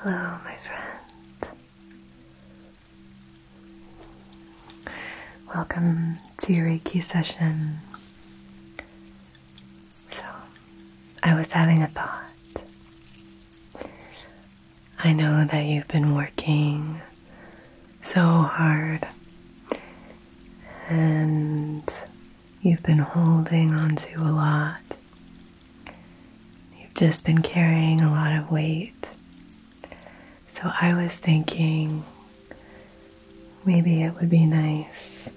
Hello, my friend. Welcome to your Reiki session. So, I was having a thought. I know that you've been working so hard and you've been holding on to a lot. You've just been carrying a lot of weight. So I was thinking maybe it would be nice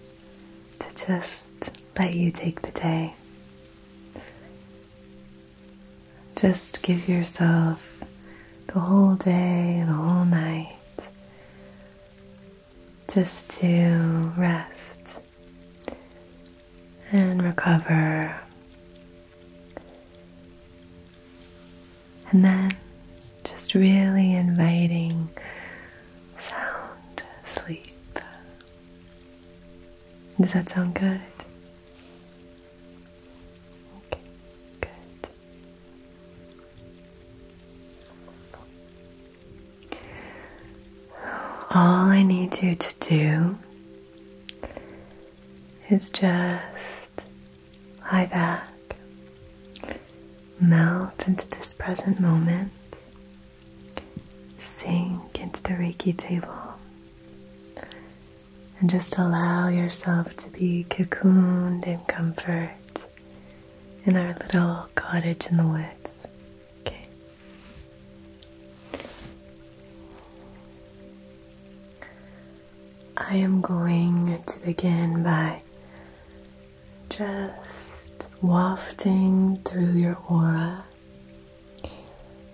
to just let you take the day. Just give yourself the whole day, the whole night, just to rest and recover and then just really inviting sound sleep. Does that sound good? Okay, good. All I need you to do is just lie back, melt into this present moment, sink into the Reiki table, and just allow yourself to be cocooned in comfort in our little cottage in the woods. Okay. I am going to begin by just wafting through your aura.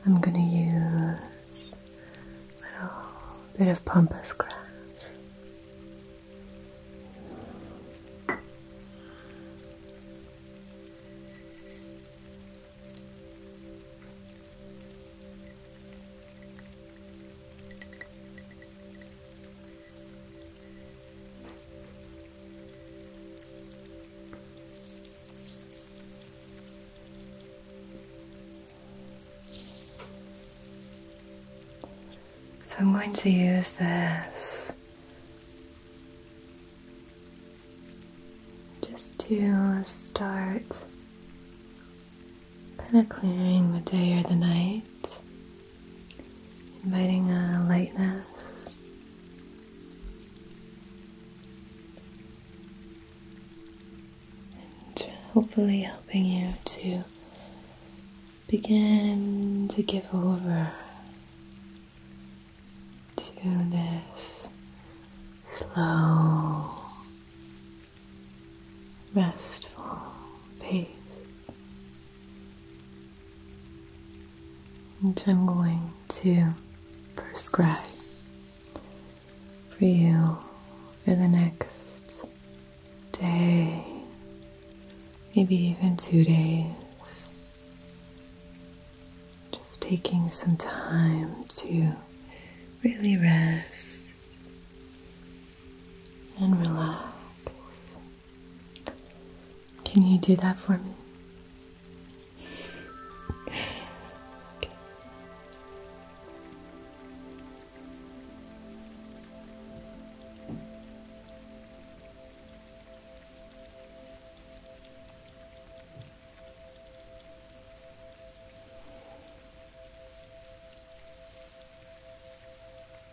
I'm going to use a bit of pompous grass. So I'm going to use this just to start Kind of clearing the day or the night, inviting a lightness. and Hopefully, helping you to begin to give over to this slow restful peace. Which I'm going to prescribe for you for the next day, maybe even two days. Just taking some time to really rest and relax. Can you do that for me?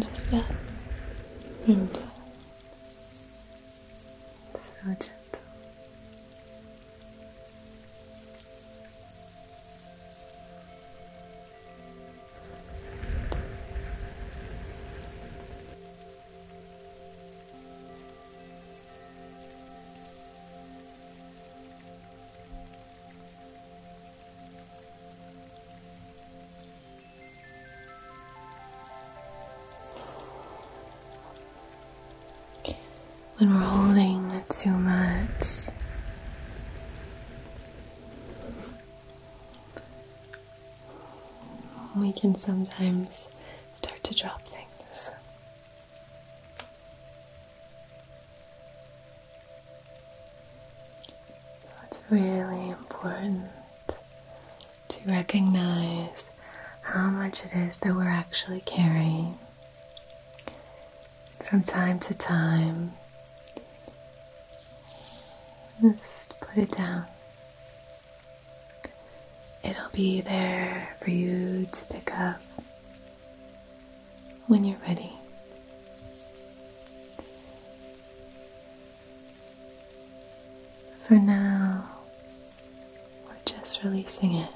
just that. And so gentle. When we're holding too much, we can sometimes start to drop things it's really important to recognize how much it is that we're actually carrying. From time to time, just put it down. It'll be there for you to pick up when you're ready. For now, we're just releasing it.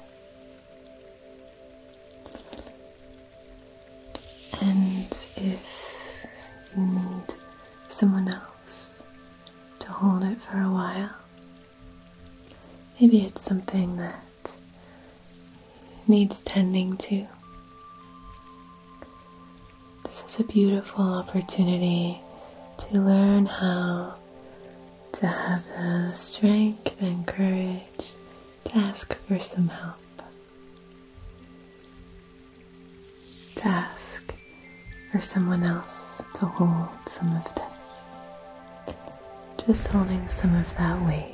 And if you need someone else to hold it for a while, maybe it's something that needs tending to. This is a beautiful opportunity to learn how to have the strength and courage to ask for some help. To ask for someone else to hold some of this. Just holding some of that weight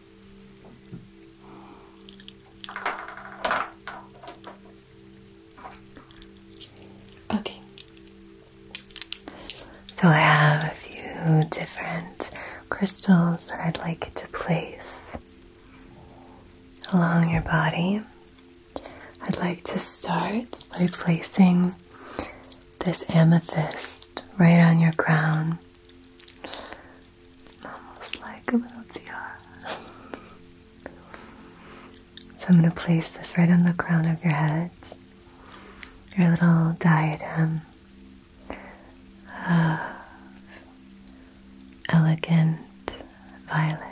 Okay. So I have a few different crystals that I'd like to place along your body. I'd like to start by placing this amethyst right on your crown. It's almost like a little tiara. so I'm going to place this right on the crown of your head, your little diadem of elegant violet.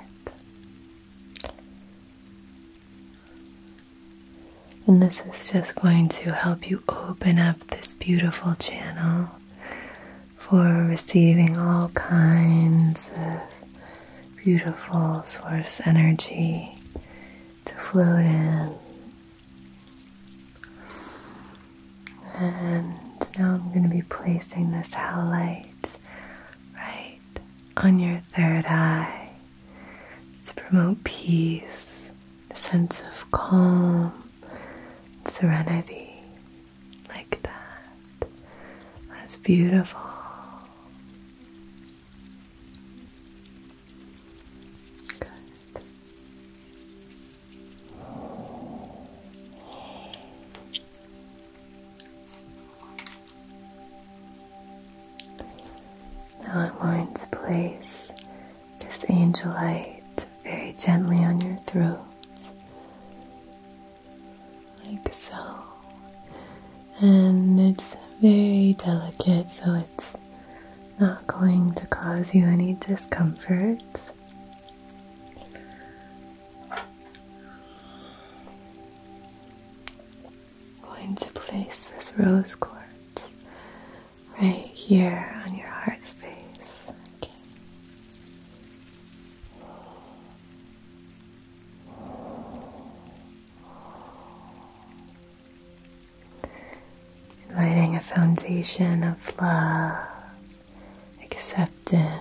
And this is just going to help you open up this beautiful channel for receiving all kinds of beautiful source energy to float in. And now I'm going to be placing this light right on your third eye to promote peace, a sense of calm, serenity like that. That's beautiful. Good. Now I'm going to place this angelite very gently on your throat, like so. And it's very delicate, so it's not going to cause you any discomfort. going to place this rose quartz right here on your heart space. Inviting a foundation of love, acceptance,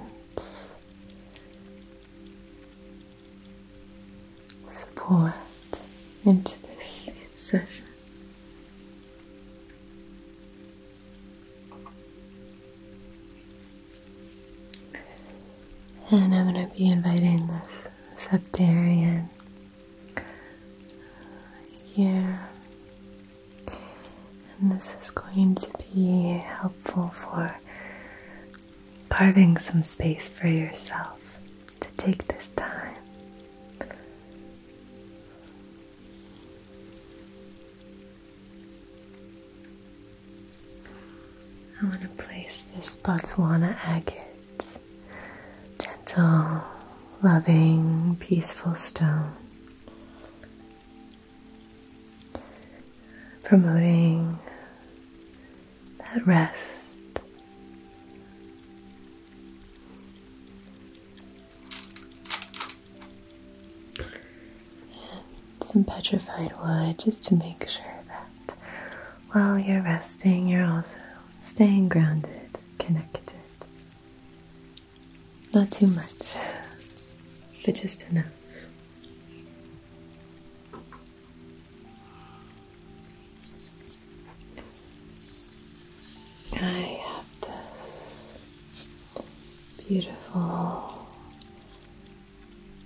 support into this session. And I'm going to be inviting this septarian here. And this is going to be helpful for carving some space for yourself to take this time I want to place this Botswana agate, gentle, loving, peaceful stone, promoting that rest some petrified wood just to make sure that while you're resting, you're also staying grounded, connected. Not too much, but just enough. I have this beautiful,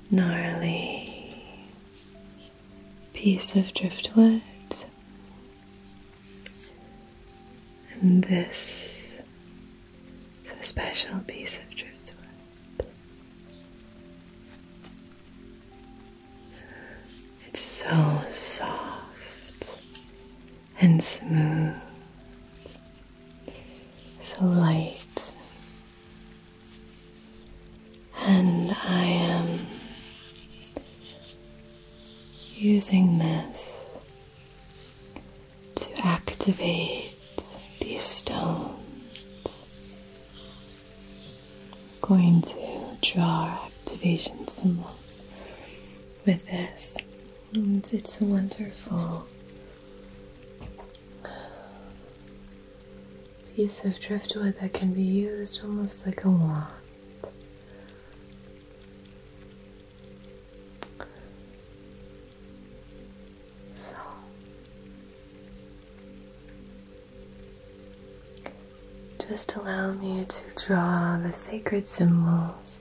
gnarly piece of driftwood. And this is a special piece of driftwood. It's so soft and smooth, so light. And I am using this to activate these stones. going to draw activations and symbols with this it's a wonderful piece of driftwood that can be used almost like a wand. So just allow me to draw the sacred symbols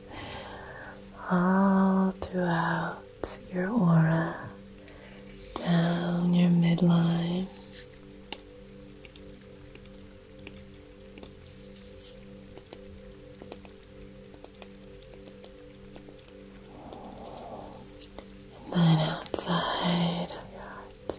all throughout your aura, down your midline. And then outside of your heart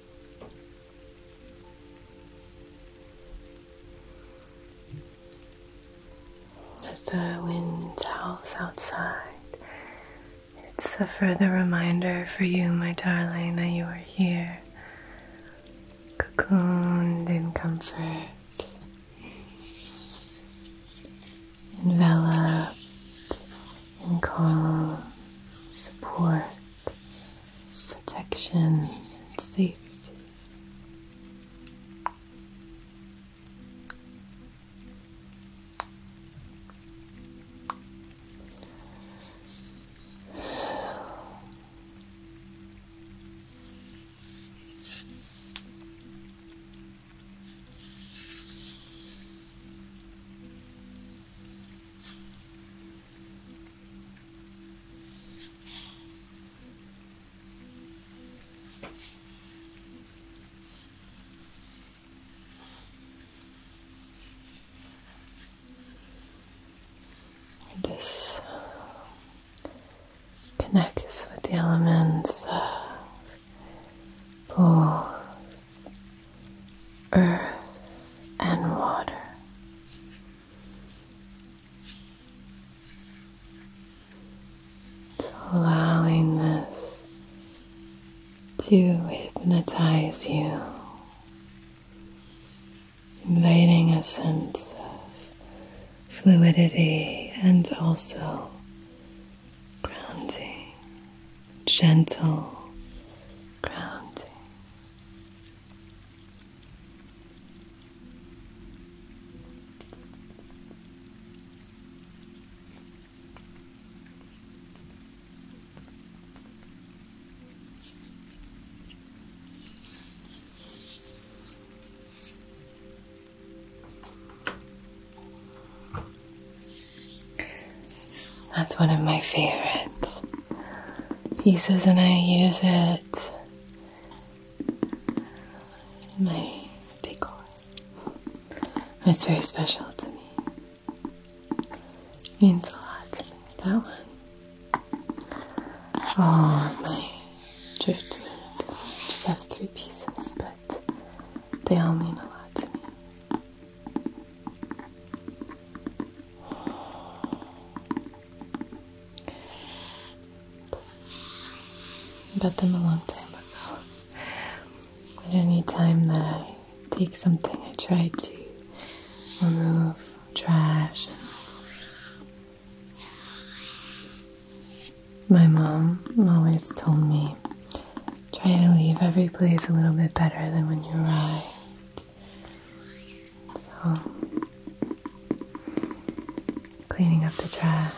As the wind howls outside, it's a further reminder for you, my darling, that you are here, cocooned in comfort, enveloped and calm, support, protection, and safety. This connects with the elements uh, of earth, and water. allowing this to hypnotize you, inviting a sense of fluidity and also grounding gentle grounding. That's one of my favorite pieces, and I use it in my decor. It's very special to me. means a lot to me. That one. Oh, my driftwood. I just have three pieces, but they all mean a lot to me. Got them a long time ago. But any time that I take something, I try to remove trash. My mom always told me try to leave every place a little bit better than when you arrived. Oh. cleaning up the trash.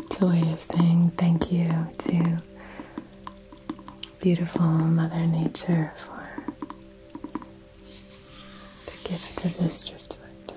It's a way of saying thank you to beautiful Mother Nature for the gift of this driftwood.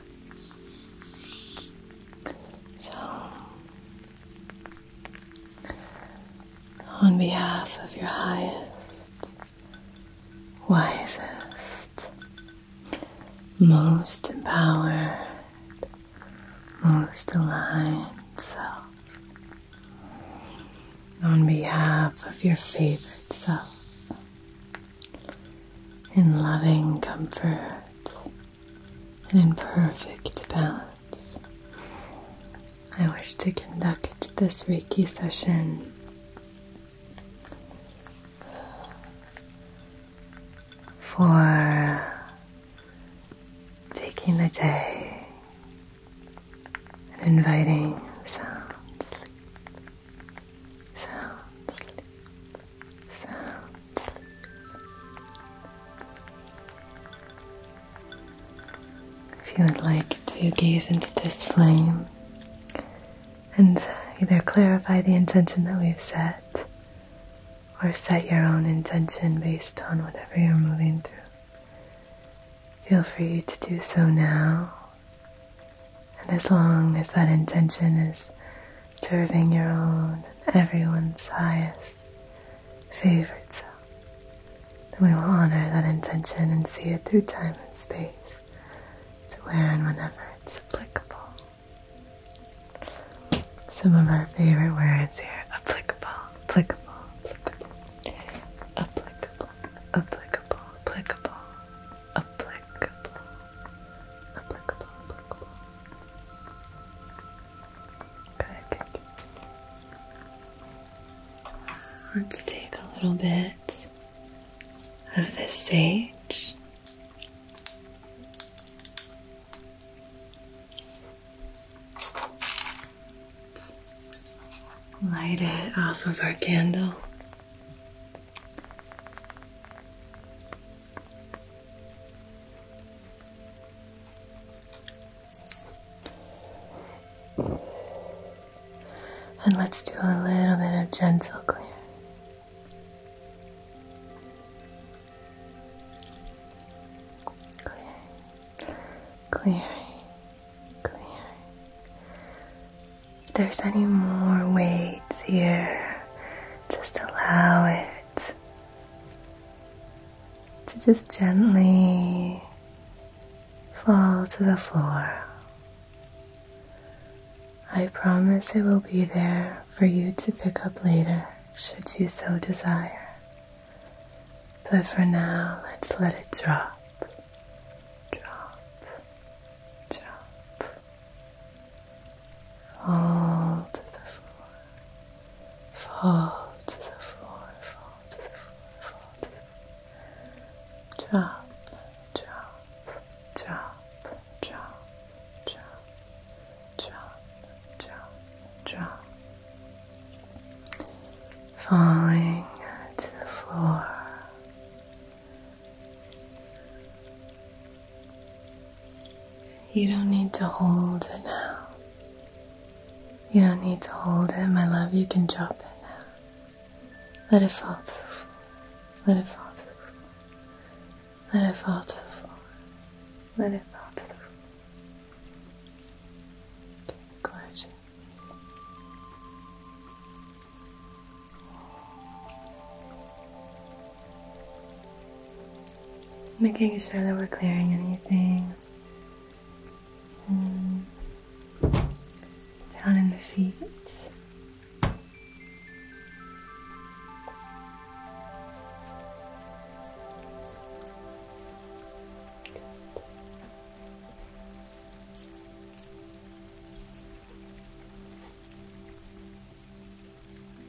So, on behalf of your highest, wisest, most empowered, most aligned self, on behalf of your favorite self, in loving comfort and in perfect balance. I wish to conduct this Reiki session for taking the day and inviting sounds, sleep, so, If you would like to gaze into this flame and either clarify the intention that we've set or set your own intention based on whatever you're moving through, feel free to do so now. And as long as that intention is serving your own and everyone's highest favorite self. We will honor that intention and see it through time and space to where and whenever it's applicable. Some of our favorite words here applicable, applicable, applicable, applicable, applicable, applicable, applicable, applicable, applicable, Good. Let's take a little bit of this sage. Light it off of our candle. And let's do a little bit of gentle clearing. Clearing, clearing, clearing. If there's any more weights here, just allow it to just gently fall to the floor. I promise it will be there for you to pick up later should you so desire. But for now, let's let it drop, drop, drop. Fall to the floor. Fall to the floor. Fall to the floor. Fall to the floor. Drop, drop, Jump. Jump. Jump. Jump. Jump. drop. Falling to the floor. You don't need to hold it now. You don't need to hold it, my love. You can drop it now. Let it fall to the floor. Let it fall to the floor. Let it fall to the floor. Let it fall to the floor. gorgeous. Making sure that we're clearing anything hmm. down in the feet.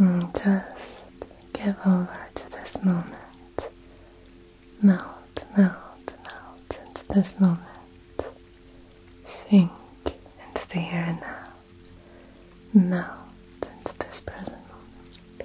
Mm, just give over to this moment. Melt, melt, melt into this moment. Sink into the here and now. Melt into this present moment.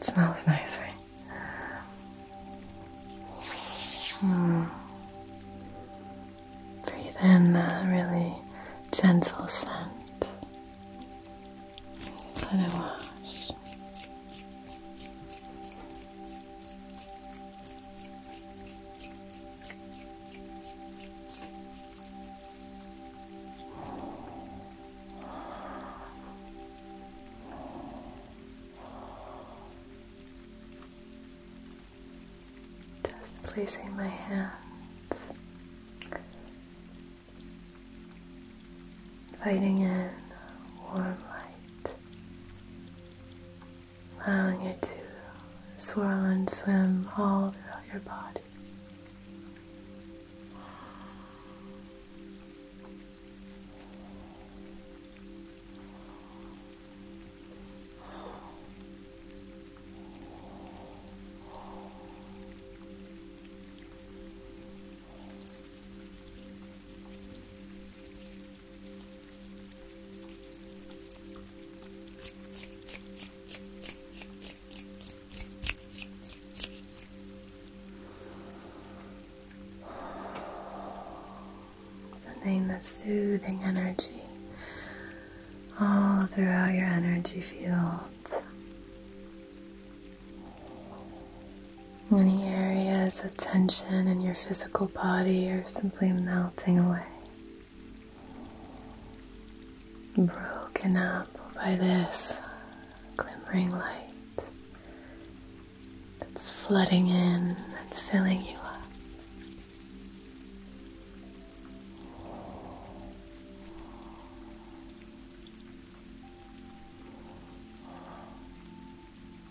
smells nice, right? Mm. Breathe in that really gentle scent. let it wash. Just placing my hands inviting in warm light, allowing it to swirl and swim all throughout your body. Sending the soothing energy all throughout your energy fields. Any areas of tension in your physical body are simply melting away. Broken up by this glimmering light that's flooding in and filling you up.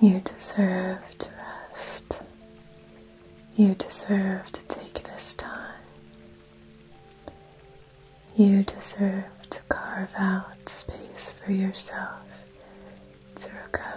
You deserve to rest. You deserve to take this time. You deserve to carve out space for yourself to recover.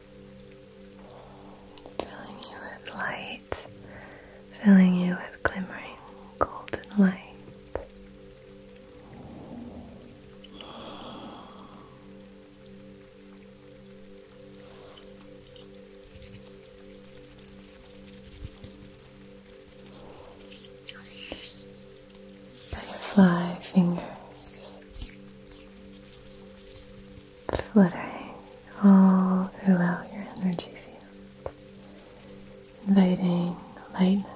filling you with light, filling you with glimmering golden light. Five fingers fluttering all throughout your energy field, inviting lightness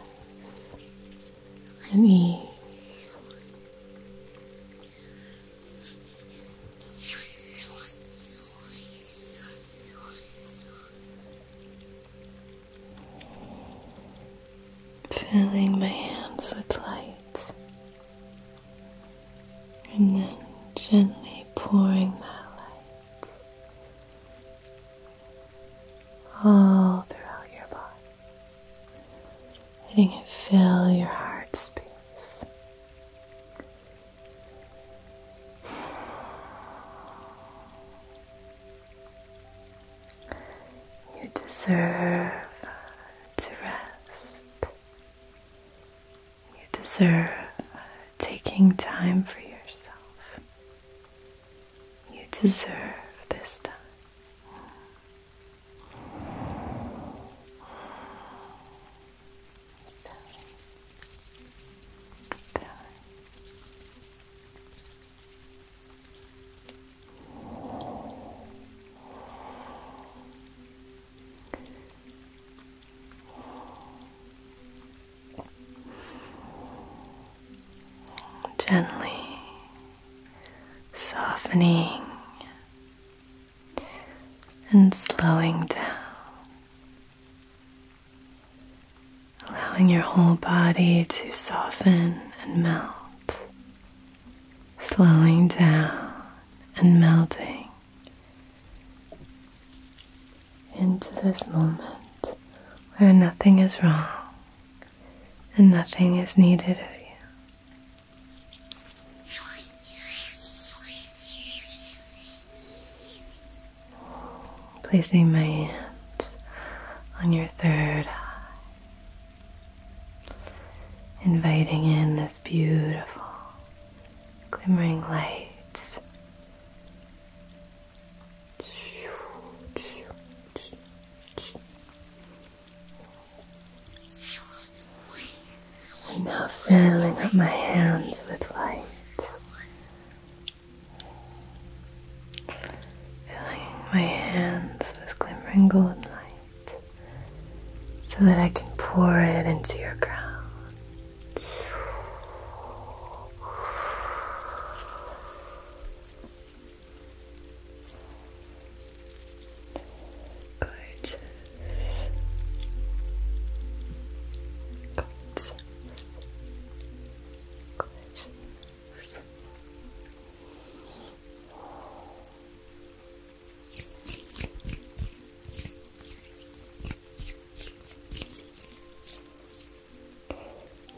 and ease. Filling my hands with light and then gently pouring that light all throughout your body, letting it fill your heart space. You deserve to rest. You deserve taking time for yourself. You deserve this time. Gently softening and slowing down, allowing your whole body to soften and melt slowing down and melting into this moment where nothing is wrong and nothing is needed of you. Placing my hands on your third eye inviting in this beautiful glimmering light. And now filling up my hands with light. Filling my hands with glimmering golden light so that I can pour it into your ground. Gorgeous. Gorgeous. Gorgeous.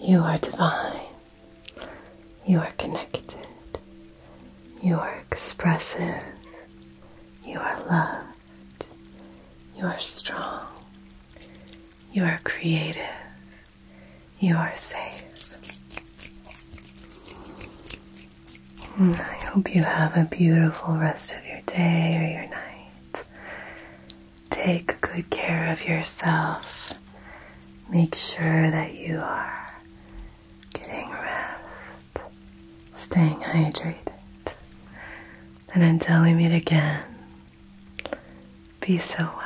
You are divine. You are connected. You are expressive. You are loved. You are strong. You are creative. You are safe. I hope you have a beautiful rest of your day or your night. Take good care of yourself. Make sure that you are getting rest, staying hydrated. And until we meet again, be so well.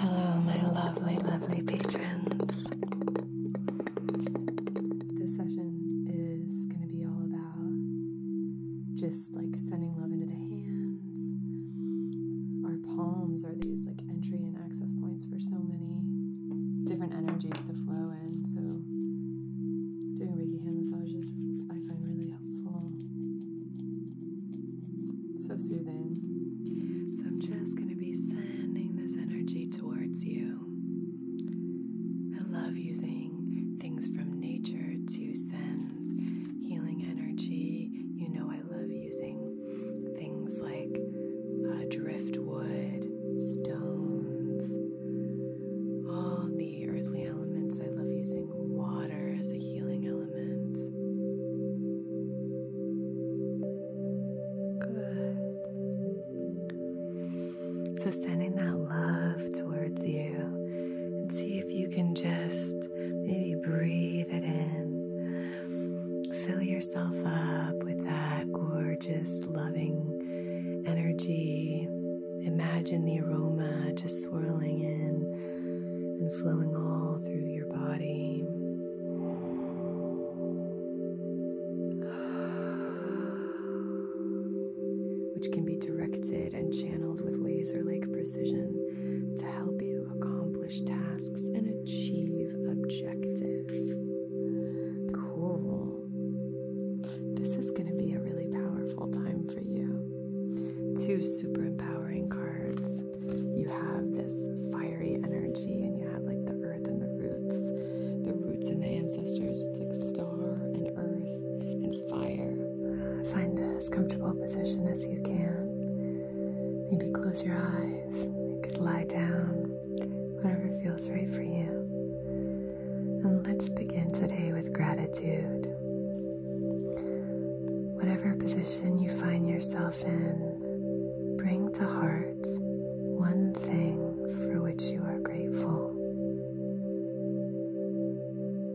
Hello, my lovely, lovely patrons. This session is going to be all about just like sending love into the hands. Our palms are these like entry and access points for so many different energies to flow in. So doing Reiki hand massages I find really helpful. So soothing. So I'm just going to be sending this energy towards you. I love using things from nature to send healing energy. You know, I love using things like uh, driftwood, stones, all the earthly elements. I love using water as a healing element. Good. So, sending that love towards you and see if you can just maybe breathe it in. Fill yourself up with that gorgeous, loving energy. Imagine the aroma just swirling in and flowing all through your body. Which can be directed and channeled with laser like precision to help you accomplish tasks and achieve objectives. Cool. This is going to be a really powerful time for you. Two super empowering cards. You have this fiery energy, and you have like the earth and the roots, the roots and the ancestors. It's like star and earth and fire. Find as comfortable position as you can. Maybe close your eyes. You could lie down, whatever feels right for you. And let's begin today with gratitude. Whatever position you find yourself in, bring to heart one thing for which you are grateful.